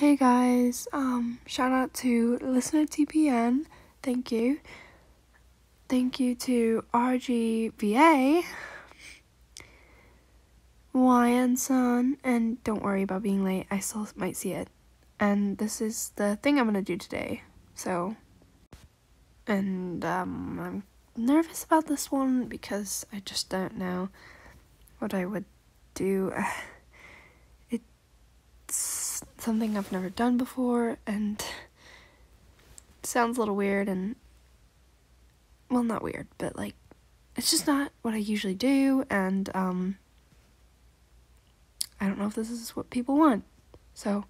Hey guys, um, shout out to listener TPN, thank you. Thank you to RGBA, YN Sun, and don't worry about being late, I still might see it. And this is the thing I'm gonna do today, so. And, um, I'm nervous about this one because I just don't know what I would do. it's something I've never done before and sounds a little weird and well not weird but like it's just not what I usually do and um, I don't know if this is what people want so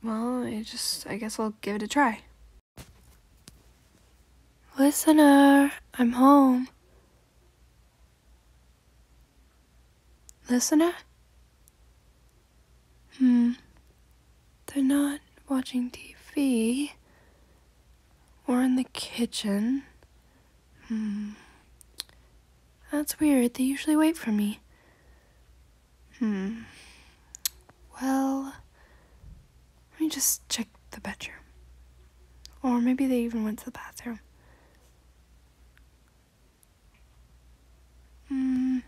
well I just I guess I'll give it a try Listener, I'm home. Listener? Hmm. They're not watching TV. Or in the kitchen. Hmm. That's weird. They usually wait for me. Hmm. Well, let me just check the bedroom. Or maybe they even went to the bathroom. Mm.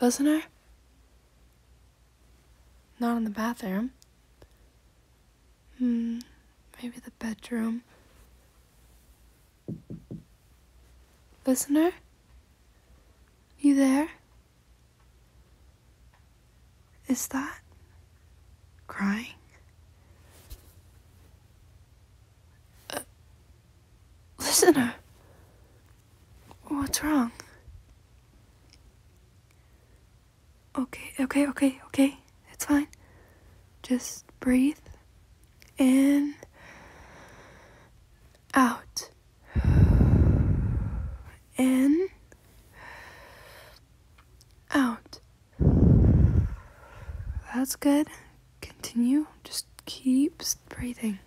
Wasn't there? Not in the bathroom. Hmm, maybe the bedroom. Listener? You there? Is that crying? Uh, listener, what's wrong? Okay, okay, okay, okay. It's fine. Just breathe in out, in, out. That's good. Continue. Just keep breathing.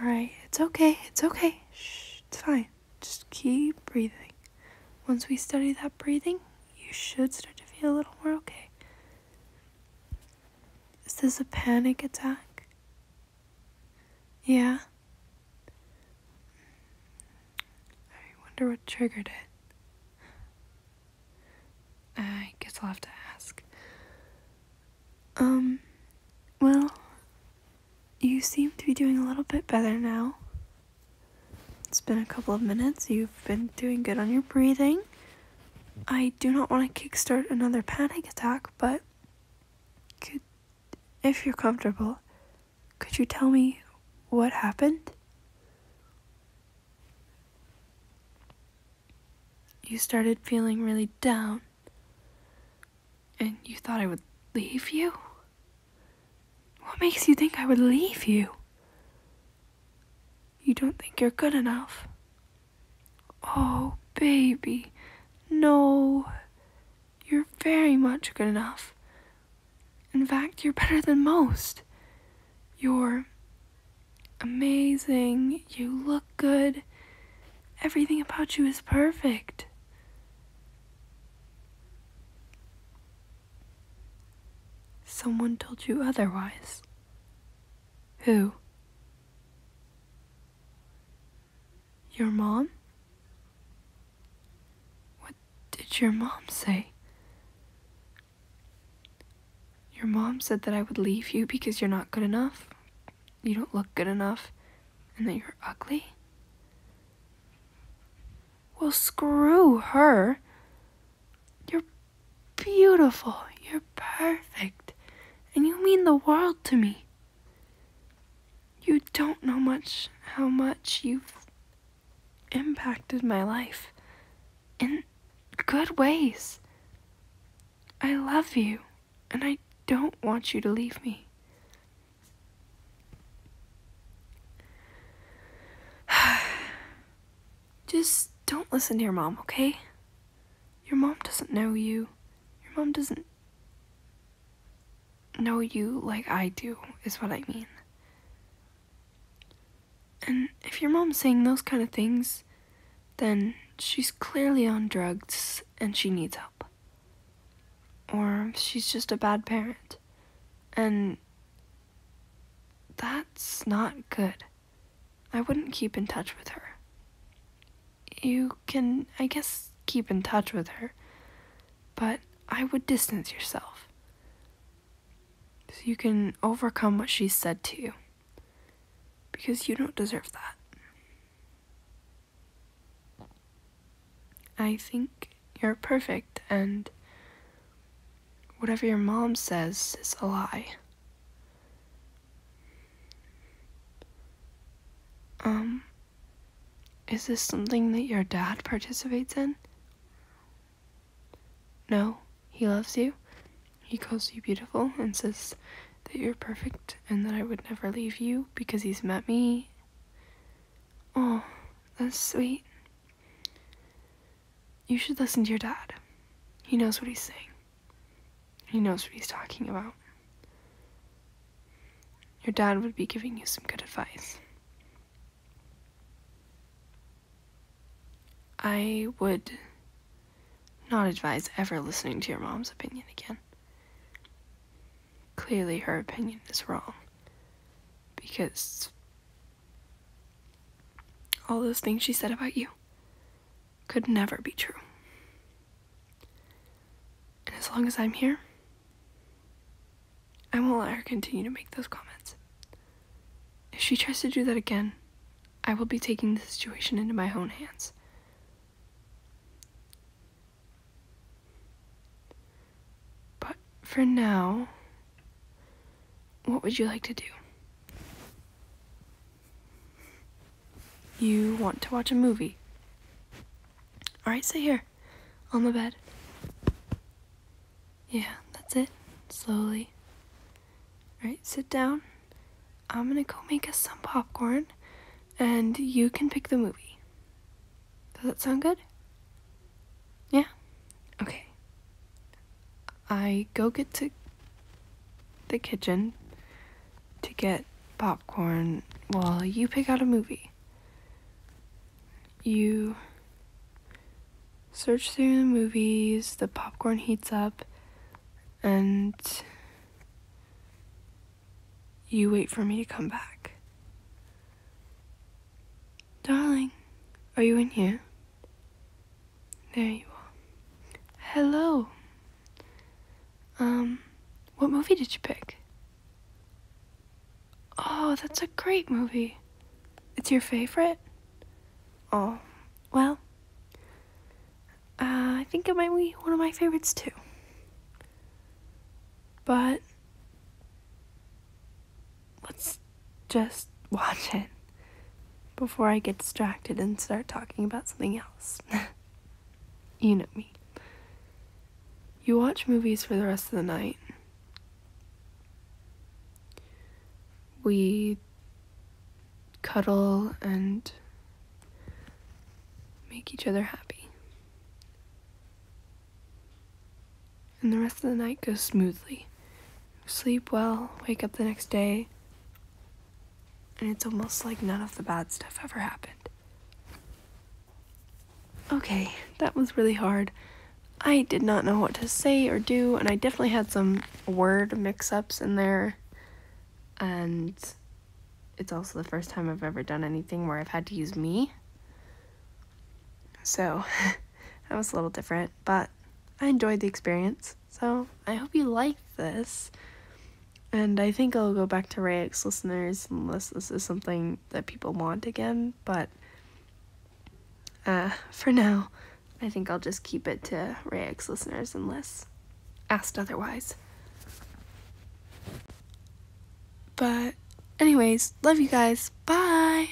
All right. It's okay. It's okay. Shh, it's fine. Just keep breathing. Once we study that breathing, you should start to feel a little more okay. Is this a panic attack? Yeah. I wonder what triggered it. I guess I'll have to ask. Um, well, you seem to be doing a little bit better now. It's been a couple of minutes. You've been doing good on your breathing. I do not want to kickstart another panic attack, but if you're comfortable, could you tell me what happened? You started feeling really down, and you thought I would leave you? What makes you think I would leave you? You don't think you're good enough. Oh, baby, no. You're very much good enough. In fact, you're better than most. You're amazing. You look good. Everything about you is perfect. Someone told you otherwise. Who? Your mom? What did your mom say? Your mom said that I would leave you because you're not good enough, you don't look good enough, and that you're ugly? Well, screw her. You're beautiful. You're perfect. And you mean the world to me. You don't know much how much you've impacted my life in good ways. I love you, and I don't want you to leave me. Just don't listen to your mom, okay? Your mom doesn't know you. Your mom doesn't know you like I do, is what I mean. And if your mom's saying those kind of things, then she's clearly on drugs and she needs help. Or she's just a bad parent. And that's not good. I wouldn't keep in touch with her. You can, I guess, keep in touch with her, but I would distance yourself. So you can overcome what she said to you. Because you don't deserve that. I think you're perfect and whatever your mom says is a lie. Um, is this something that your dad participates in? No, he loves you. He calls you beautiful and says that you're perfect and that I would never leave you because he's met me. Oh, that's sweet. You should listen to your dad. He knows what he's saying. He knows what he's talking about. Your dad would be giving you some good advice. I would not advise ever listening to your mom's opinion again. Clearly, her opinion is wrong because all those things she said about you could never be true. And as long as I'm here, I won't let her continue to make those comments. If she tries to do that again, I will be taking the situation into my own hands. But for now, what would you like to do? You want to watch a movie? Alright, sit here. On the bed. Yeah, that's it. Slowly. Alright, sit down. I'm gonna go make us some popcorn and you can pick the movie. Does that sound good? Yeah? Okay. I go get to the kitchen to get popcorn while you pick out a movie. You search through the movies, the popcorn heats up, and you wait for me to come back. Darling, are you in here? There you are. Hello. Um, what movie did you pick? Oh, that's a great movie. It's your favorite? Oh, well, uh, I think it might be one of my favorites too. But let's just watch it before I get distracted and start talking about something else. you know me. You watch movies for the rest of the night. We cuddle and make each other happy and the rest of the night goes smoothly. Sleep well, wake up the next day, and it's almost like none of the bad stuff ever happened. Okay, that was really hard. I did not know what to say or do, and I definitely had some word mix ups in there. And it's also the first time I've ever done anything where I've had to use me. So that was a little different, but I enjoyed the experience. So I hope you liked this. And I think I'll go back to Rayx listeners unless this is something that people want again, but uh, for now, I think I'll just keep it to Rayx listeners unless asked otherwise. But, anyways, love you guys. Bye!